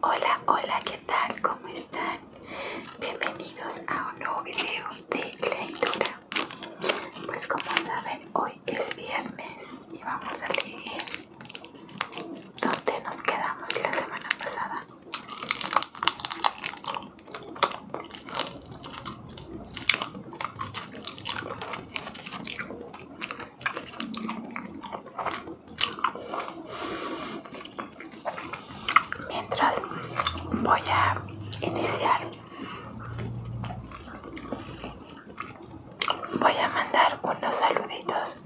Hola, hola, ¿qué tal? ¿Cómo están? Bienvenidos a un nuevo video de lectura. Pues como saben, hoy es viernes y vamos a leer donde nos quedamos la semana pasada. Mientras voy a iniciar, voy a mandar unos saluditos.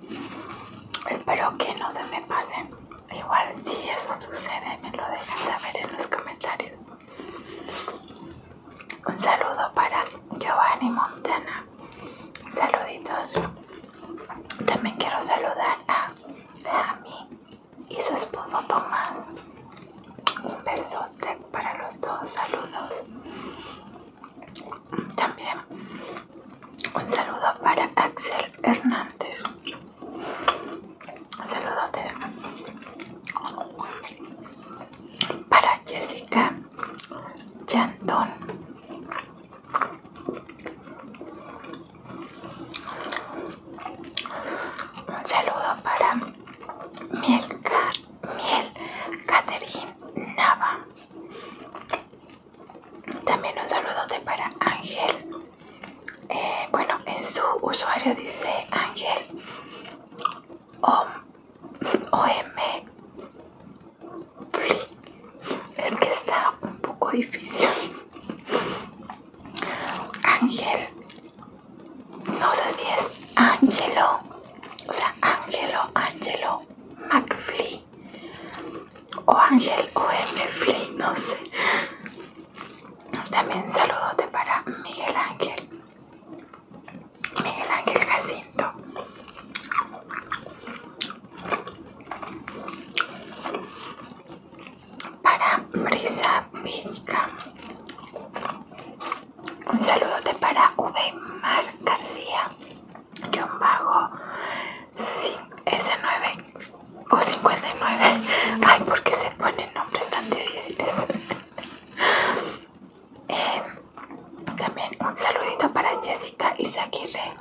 Espero que no se me pasen. Igual si eso sucede me lo dejan saber en los comentarios. Un saludo para Giovanni Montana. Saluditos. También quiero saludar a Jami y su esposo Tomás. Un besote para los dos. Saludos. También un saludo para Axel Hernández. Saludos para Jessica Chantón, Un saludo para Miel, Nava. También un saludo de para Ángel eh, bueno, en su usuario dice Ángel OM Es que está un poco difícil. Ángel, no sé si es Ángelo, o sea, Ángelo, Ángelo McFly o Ángel M Fly, no sé. También saludote para Miguel Ángel. Miguel Ángel Jacinto. Para Brisa Vilca. Un saludote para Ubeimar García. Que un vago S9 o 59. Ay, porque se ponen nombres tan difíciles. Eh, también un saludito para Jessica Isaguirre,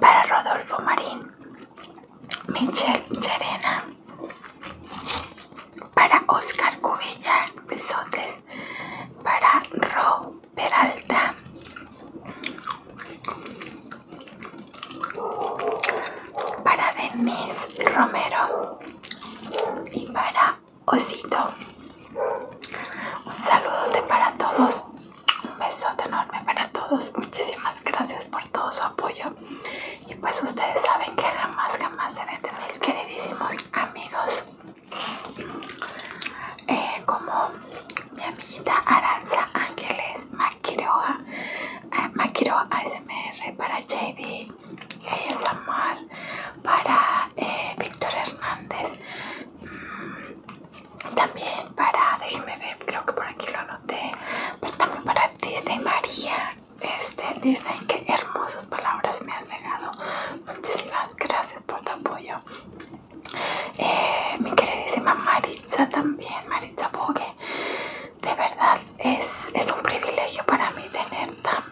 para Rodolfo Marín, Michelle serena para Oscar Cubilla, besotes, para Ro Peralta, para Denise Romero y para Osito. Un de para todos, un besote enorme para todos. Muchísimas gracias por todo su apoyo. Y pues ustedes saben que jamás, jamás se de mis queridísimos amigos. Eh, como mi amiguita Aranza Ángeles Maquiroa, eh, ASMR para JB, amar para eh, Víctor Hernández, mm, también para, déjenme ver, creo que por aquí lo anoté, pero también para Disney María, este, Disney, qué hermosas palabras me has llegado muchísimas gracias por tu apoyo. Eh, mi queridísima Maritza también, Maritza Bogue, de verdad es, un privilegio para mí tener tan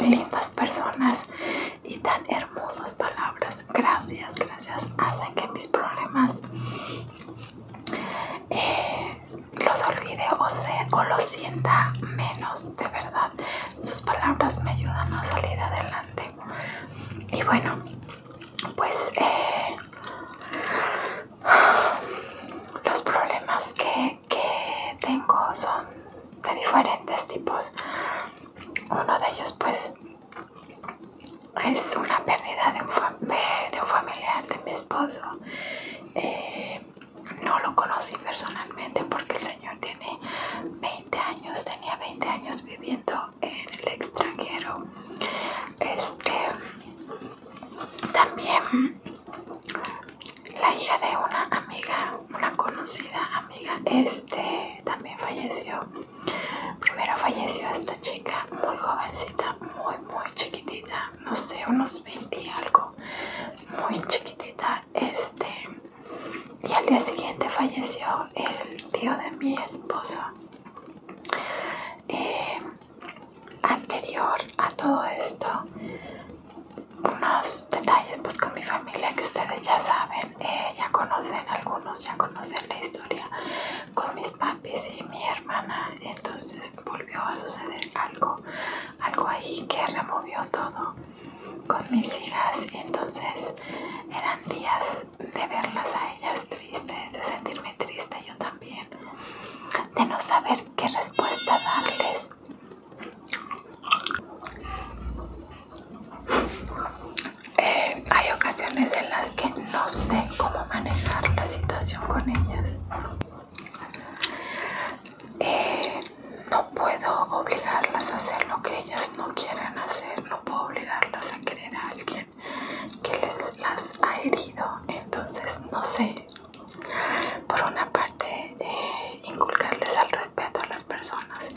lindas personas y tan hermosas palabras. Gracias, gracias. Hacen que mis problemas eh, los olvide o, se, o los sienta menos, de verdad. Sus palabras me ayudan a salir adelante. Y bueno, pues eh, los problemas que, tengo son de diferentes tipos. Uno de ellos pues es una pérdida de un, familiar de mi esposo. Eh, no lo conocí personalmente porque el señor tiene 20 años, tenía 20 años viviendo en el extranjero. Este, también la hija de una amiga, una conocida amiga, este también falleció. Primero falleció esta chica muy jovencita, muy, muy chiquitita, no sé, unos 20 y algo, muy chiquitita. Este, y al día siguiente falleció el tío de mi esposo. Eh, anterior a todo esto unos detalles pues con mi familia que ustedes ya saben eh, ya conocen algunos ya conocen la historia con mis papis y mi hermana entonces volvió a suceder algo algo ahí que removió todo con mis hijas entonces eran días de verlas a ellas tristes de sentirme triste yo también de no saber qué respuesta darles. Eh, hay ocasiones en las que no sé cómo manejar la situación con ellas. Eh, no puedo obligarlas a hacer lo que ellas no quieran hacer, no puedo obligarlas a querer a alguien que les las ha herido entonces no sé por una parte eh, inculcarles al respeto a las personas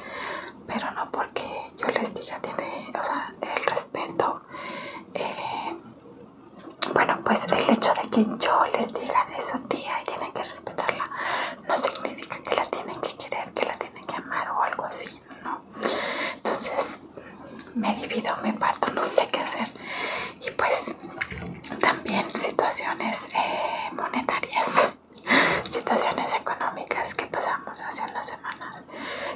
pero no porque yo les diga tiene o sea el respeto eh, bueno pues el hecho de que yo les diga eso su tía y tienen que respetarla no significa que la tienen que querer que la tienen que amar o algo así no entonces me divido, me parto, no sé qué hacer. Y pues también situaciones eh, monetarias, situaciones económicas que pasamos hace unas semanas,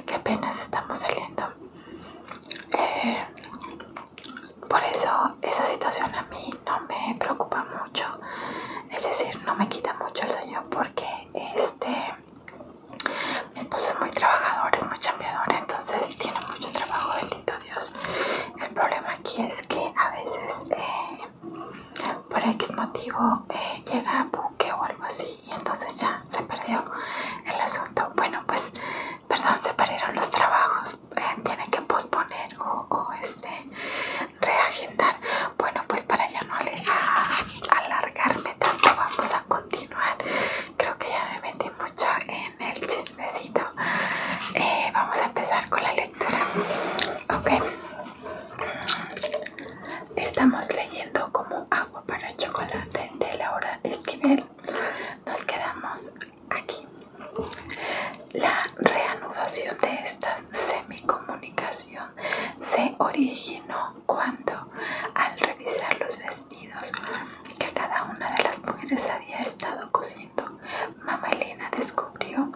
que apenas estamos saliendo. Eh, por eso esa situación a mí no me preocupa mucho, es decir, no me quita mucho el sueño porque este mi esposo es muy trabajador, es muy cambiador, entonces tiene mucho trabajo, bendito Dios. El problema aquí es que a veces eh, por X motivo eh, llega a buque o algo así y entonces ya se perdió el asunto. Bueno, pues, perdón, se perdieron los trabajos, tienen eh, tiene que posponer o, o este reagendar. Bueno, pues para ya no alargarme tanto, vamos a continuar Creo que ya me metí mucho en el chismecito. Eh, vamos a empezar con la lectura. Okay. Estamos leyendo como agua para chocolate de Laura Esquivel. Nos quedamos aquí. La reanudación de esta semicomunicación se originó cuando, al revisar los vestidos que cada una de las mujeres había estado cosiendo. Mamá Elena descubrió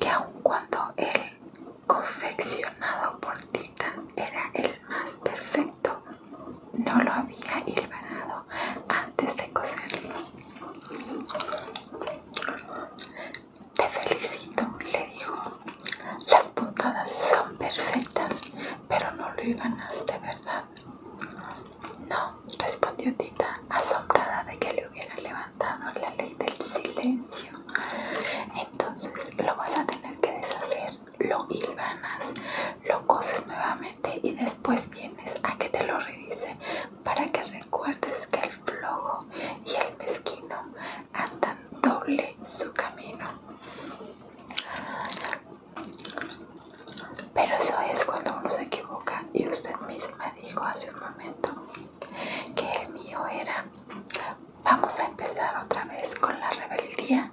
que aun cuando el confeccionado por Tita era el más perfecto, no lo había hilvanado antes de coserlo. Te felicito, le dijo. Las puntadas son perfectas, pero no lo de ¿verdad? No, respondió Tita, asombrada de que le hubiera levantado la ley del silencio. Entonces lo vas a tener que deshacer, lo hilvanas, lo coses nuevamente y después vienes a que te lo revise para que recuerdes que el flojo y el mezquino andan doble su camino. Pero eso es cuando uno se equivoca y usted misma dijo hace un momento que el mío era, vamos a empezar otra vez con la rebeldía.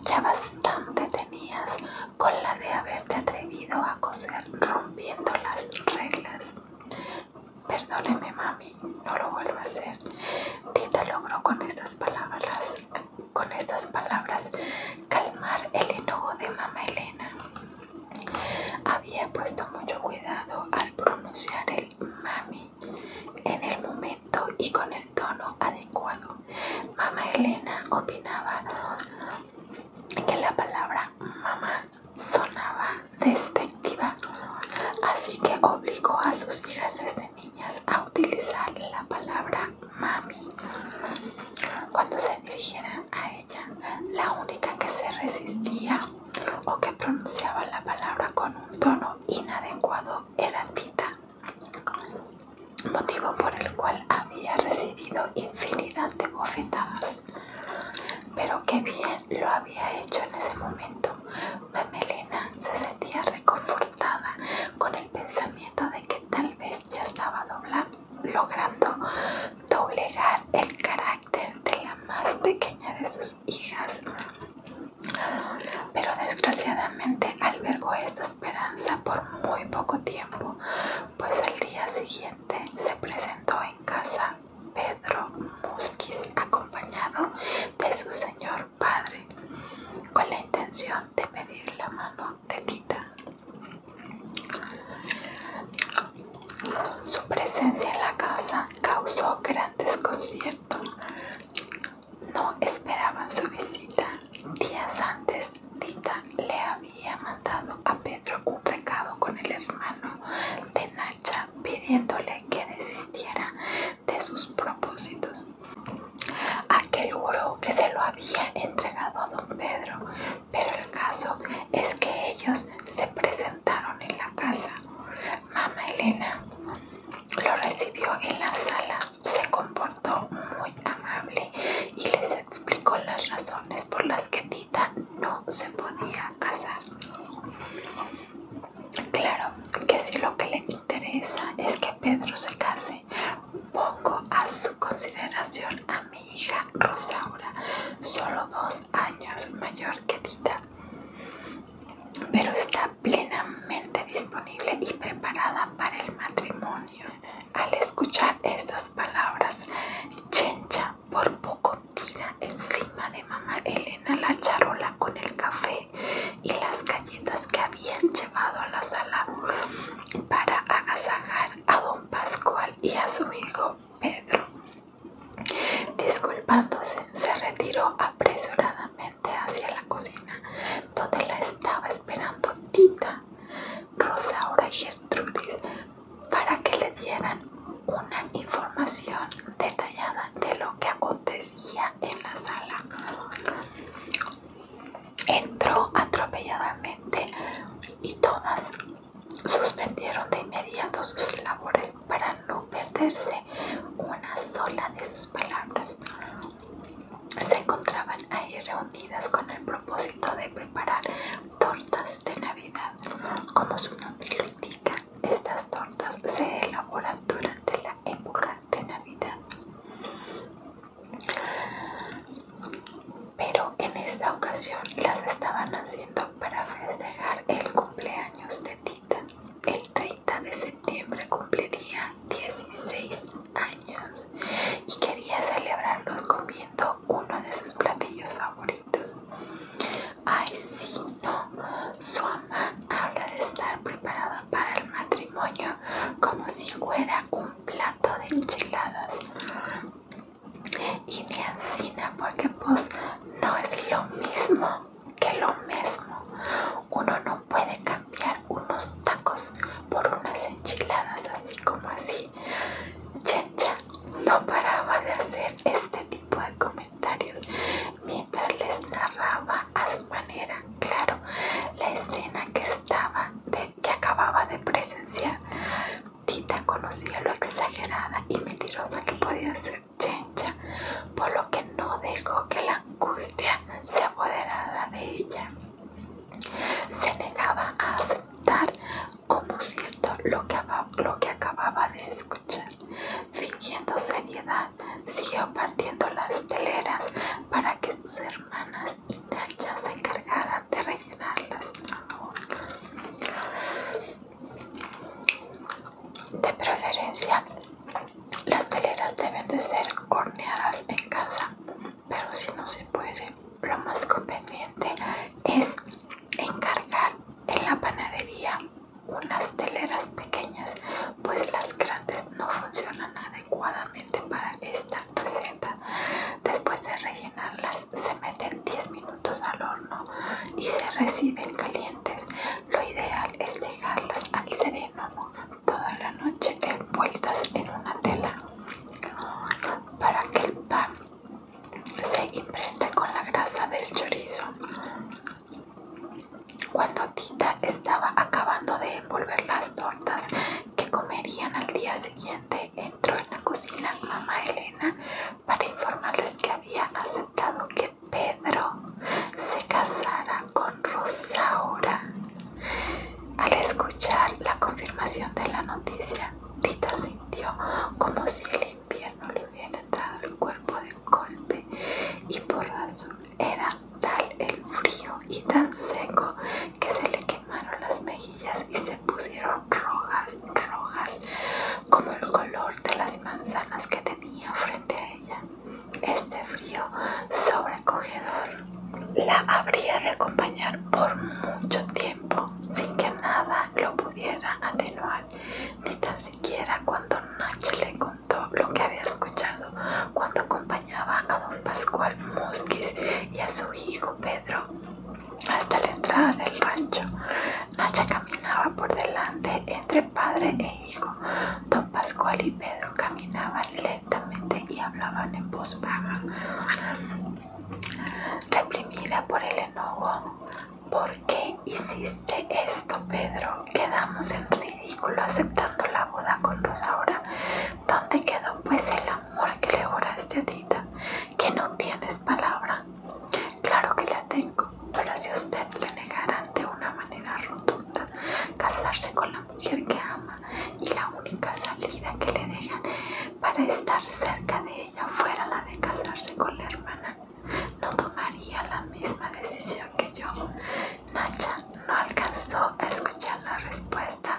Ya bastante tenías con la de haberte atrevido a coser rompiendo las reglas. Perdóneme mami, no lo vuelvo a hacer. te logró con estas palabras con estas palabras calmar el enojo de mamá Elena. Había puesto mucho cuidado al pronunciar el mami en el momento y con el tono adecuado. Mama Elena opinaba que la palabra mamá sonaba despectiva, así que obligó a sus hijas desde niñas a utilizar la palabra Mami. Cuando se dirigiera a ella, la única que se resistía o que pronunciaba la palabra con un tono inadecuado era Tita, motivo por el cual había recibido infinidad de bofetadas. Pero qué bien lo había hecho en ese momento. Mamelena se sentía reconfortada con pensamiento de que tal vez ya estaba logrando doblegar el carácter de la más pequeña de sus hijas. Pero desgraciadamente albergó esta esperanza por muy poco tiempo, pues al día siguiente se presentó en casa Pedro Musquiz acompañado de su señor padre con la intención de pedir la mano de Tita. Su presencia en la casa causó gran desconcierto. No esperaban su visita. Días antes, Tita le había mandado a Pedro un recado con el hermano de Nacha pidiéndole que desistiera de sus propósitos. Aquel juró que se lo había entregado a don Pedro, pero el caso es que ellos se presentaron en la casa. mama Elena lo recibió en la sala, se comportó muy amable y les explicó las razones por las que Tita no se podía casar. Claro que si lo que le interesa es que Pedro se case, pongo a su consideración a mi hija Rosaura, solo dos años mayor que Tita, pero está plenamente disponible y preparada para el matrimonio. Al escuchar estas palabras, Chencha por poco tira encima de mamá Elena la charola con el café y las galletas que habían llevado a la sala para agasajar a don Pascual y a su hijo Pedro. Disculpándose, se retiró apresuradamente hacia la cocina, donde la estaba esperando Tita, Rosaura y Gertrudis para que le dieran una información detallada de lo que acontecía en la sala entró atropelladamente y todas suspendieron de inmediato sus labores para no perderse una sola de sus palabras. Se encontraban ahí reunidas con el propósito de preparar tortas de Navidad. Como su nombre lo indica, estas tortas se elaboran durante la época de Navidad. Pero en esta ocasión las estaban haciendo para festejar el cumpleaños de Tita. El 30 de septiembre cumpliría 16 años y quería celebrarlo comiendo uno de sus platillos favoritos. Ay, si no. Su mamá habla de estar preparada para el matrimonio como si fuera un plato de enchiladas y de encina porque pues no es lo mismo que lo mismo uno no puede cambiar unos tacos por unas enchiladas así como así Chencha no paraba de hacer este tipo de comentarios mientras les narraba a manera, claro, la escena que estaba, que acababa de presenciar. Tita conocía lo exagerada y mentirosa que podía ser Chencha, por lo que no dejó que la angustia se apoderara de ella. Se negaba a aceptar como cierto lo que, lo que acababa de escuchar, fingiendo seriedad siguió partiendo las teleras para que sus hermanas y se encargaran de rellenarlas. De preferencia, las teleras deben de ser horneadas en casa, pero si no se puede, lo más conveniente es encargar en la panadería unas teleras pequeñas, pues las grandes no funcionan adecuadamente para esta receta. Después de rellenarlas, se meten 10 minutos al horno y se reciben calientes. Lo ideal es dejarlas al sereno toda la noche envueltas en una tela para que el pan se impregne con la grasa del chorizo. Cuando Tita estaba acabando de envolver las tortas que comerían al día siguiente, entró en la cocina mamá Elena para informarles que había aceptado que Pedro se casara con Rosaura. Al escuchar la confirmación de la noticia, Tita sintió como si el invierno le hubiera entrado el cuerpo de golpe y por razón era tal el frío y tan seco que se le quemaron las mejillas y se pusieron rojas, rojas, como el color de las manzanas que tenía frente a ella. Este frío sobrecogedor la habría de acompañar por mucho tiempo sin que nada lo pudiera atenuar, ni tan siquiera cuando Nacho le lo que había escuchado cuando acompañaba a don Pascual Musquiz y a su hijo Pedro hasta la entrada del rancho. Nacha caminaba por delante entre padre e hijo. Don Pascual y Pedro caminaban lentamente y hablaban en voz baja, reprimida por el enojo. ¿Por qué hiciste esto, Pedro? Quedamos en aceptando la boda con Rosaura. ¿Dónde quedó pues el amor que le juraste a Tita? Que no tienes palabra. Claro que la tengo, pero si usted le negaran de una manera rotunda casarse con la mujer que ama y la única salida que le dejan para estar cerca de ella fuera la de casarse con la hermana, no tomaría la misma decisión que yo. Nacha no alcanzó a escuchar la respuesta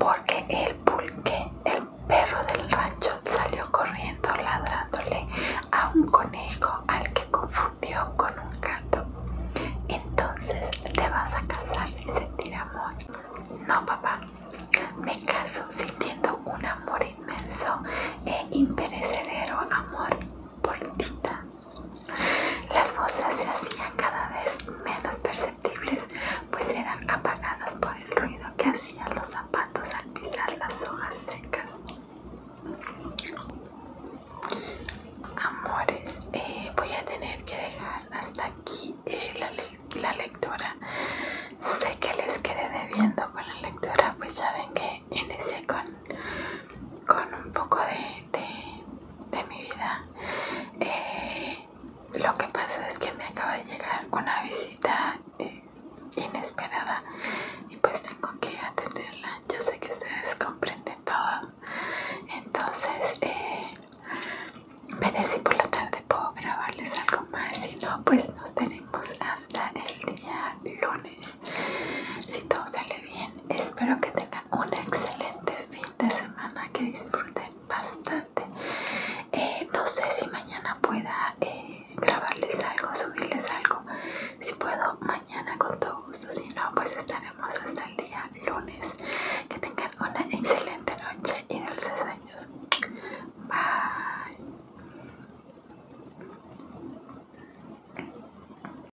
porque el pulque, el perro del rancho, salió corriendo ladrándole a un conejo al que confundió con un gato. Entonces te vas a casar sin sentir amor. No, papá, me caso sintiendo un amor inmenso e imperecedero amor por Tita. Las voces se hacían cada vez menos perceptibles, pues eran apagadas por el ruido que hacían los zapatos al pisar las hojas secas. Amores, eh, voy a tener que dejar hasta aquí eh, la, la lectura. Sé que les quedé debiendo con la lectura, pues ya ven que ese con con un poco de, de, mi vida. Eh, lo que pasa es que me acaba de llegar una visita eh, inesperada y pues tengo que atenderla. Yo sé que ustedes comprenden todo. Entonces, eh, veré si por la tarde puedo grabarles algo más. Si no, pues nos veremos hasta el día lunes. Si todo sale bien, espero que tengan un excelente fin de semana, que disfruten bastante. Eh, no sé si mañana pueda eh, grabarles algo, subirles algo. Si puedo, mañana con todo gusto. Si no, pues estaremos hasta el día lunes. Que tengan una excelente noche y dulces sueños. Bye.